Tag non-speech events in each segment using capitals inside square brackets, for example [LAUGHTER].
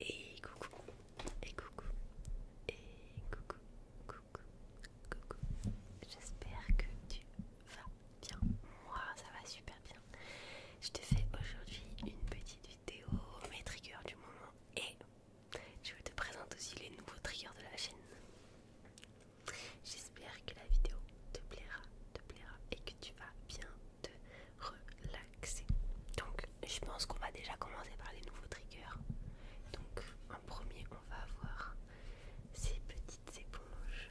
Et coucou, et coucou, et coucou, coucou, coucou. J'espère que tu vas bien. Moi, ça va super bien. Je te fais aujourd'hui une petite vidéo, mes triggers du moment, et je vais te présente aussi les nouveaux triggers de la chaîne. J'espère que la vidéo te plaira, te plaira et que tu vas bien te relaxer. Donc, je pense qu'on va déjà commencer par les nouveaux triggers. Donc, en premier, on va avoir ces petites éponges.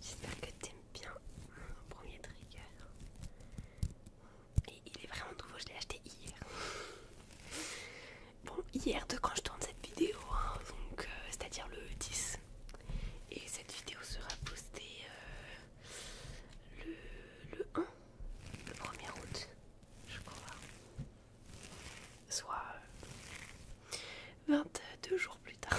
J'espère que t'aimes bien mon premier trigger. Et il est vraiment nouveau, je l'ai acheté hier. Bon, hier de quand je tourne cette vidéo, hein, donc euh, c'est-à-dire le 10. Et cette vidéo sera postée euh, le, 1, le 1er août, je crois. Soit 22 euh, jours plus tard.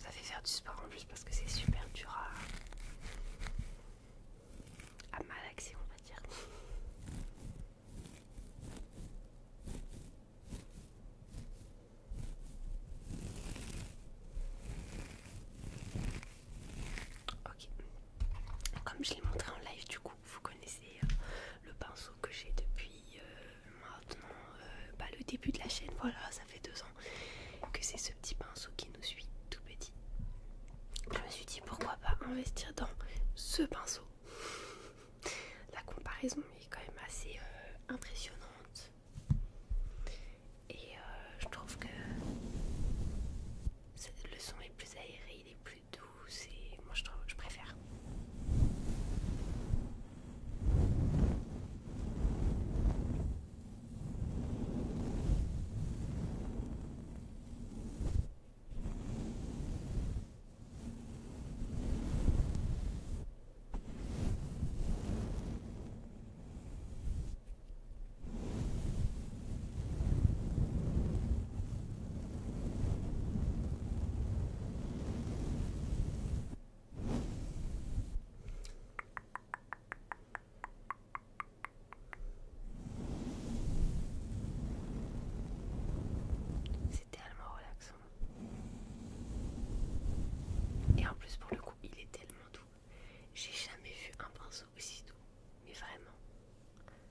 Ça fait faire du sport en plus parce que c'est super dur à, malaxer, on va dire. Ok, comme je l'ai montré en live, du coup, vous connaissez euh, le pinceau que j'ai depuis euh, maintenant euh, bah, le début de la chaîne. Voilà, ça fait deux ans que c'est ce petit pinceau qui nous suit tout petit. Je me suis dit pourquoi pas investir dans ce pinceau. La comparaison est quand même assez impressionnante. Et je trouve que le son est plus aéré, il est plus doux, douce et moi je, trouve, je préfère. C'est tellement relaxant. Et en plus pour le coup, il est tellement doux. J'ai jamais vu un pinceau aussi doux. Mais vraiment.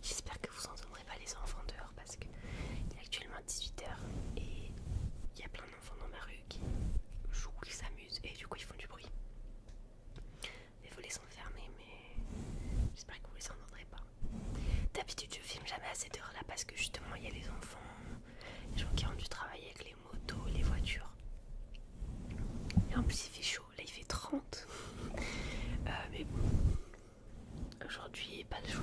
J'espère que vous entendrez pas les enfants dehors parce que est actuellement 18h et il y a plein enfants dans ma rue qui jouent, qui s'amusent et du coup ils font du bruit. Les volets sont fermés mais j'espère que vous les entendrez pas. D'habitude je filme jamais à cette heure là parce que justement il y a les enfants, les gens qui ont du travail avec les motos, les voitures. Et en plus il fait chaud, là il fait 30. Euh, mais bon, aujourd'hui pas le jour.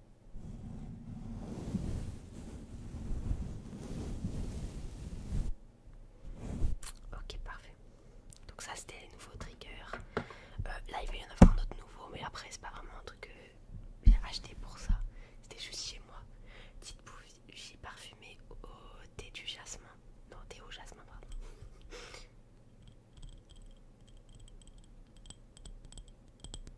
Ok parfait. Donc ça c'était les nouveaux triggers. Euh, là il va y en avoir un autre nouveau mais après c'est pas vraiment un truc que j'ai acheté pour ça. C'était juste chez moi. Petite bougie parfumée au, au thé du jasmin. Non thé au jasmin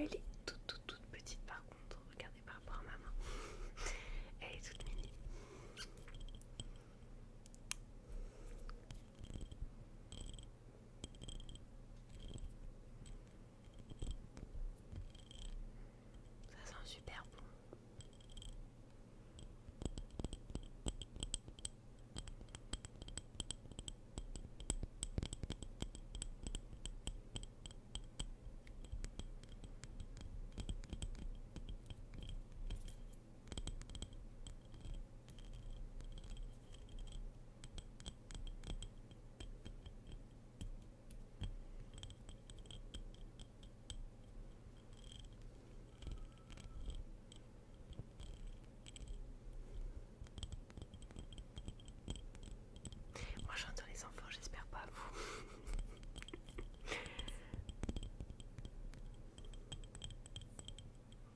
Elle est toute toute toute petite par contre, regardez par rapport à ma main. [LAUGHS] Elle est toute minute. Ça sent super bon. Moi j'entends les enfants, j'espère pas vous.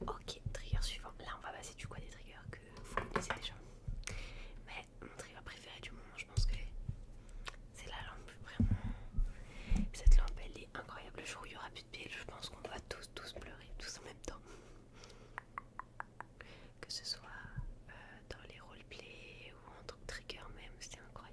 Ok, trigger suivant. Là, on va passer du quoi des triggers que vous connaissez déjà. Mais mon trigger préféré du moment, je pense que c'est la lampe. Vraiment, cette lampe, elle est incroyable. Le jour où il n'y aura plus de piles, je pense qu'on va tous, tous pleurer tous en même temps que ce soit euh, dans les roleplays ou en tant trigger même, c'est incroyable.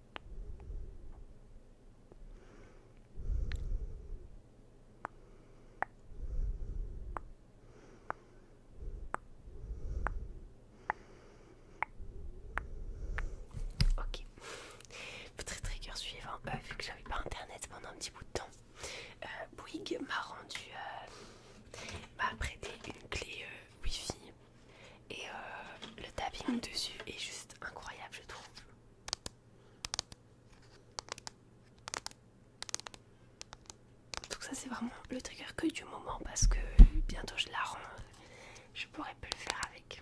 Ok, très trigger suivant, hein. bah, vu que j'avais pas internet pendant un petit bout de temps, euh, Bouygues m'a rendu, euh, m'a prêté une clé euh, Wi-Fi et le tapping dessus est juste incroyable, je trouve. Donc ça c'est vraiment le trigger que du moment parce que bientôt je la je pourrais plus le faire avec.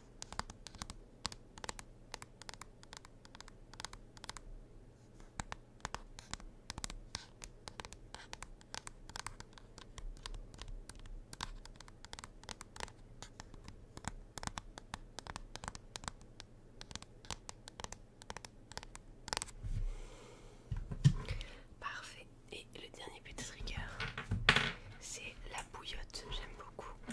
Parfait. Et le dernier petit trigger, c'est la bouillotte. J'aime beaucoup.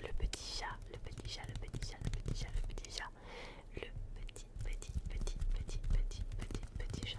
Le petit chat, le petit chat, le petit chat, le petit chat, le petit chat, le petit, petit, petit, petit, petit, petit, petit chat.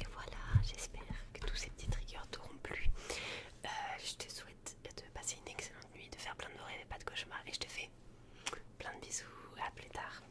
Et voilà, j'espère que tous ces petits triggers t'auront plu. Euh, je te souhaite de passer une excellente nuit, de faire plein de rêves et pas de cauchemars. Et je te fais plein de bisous, à plus tard.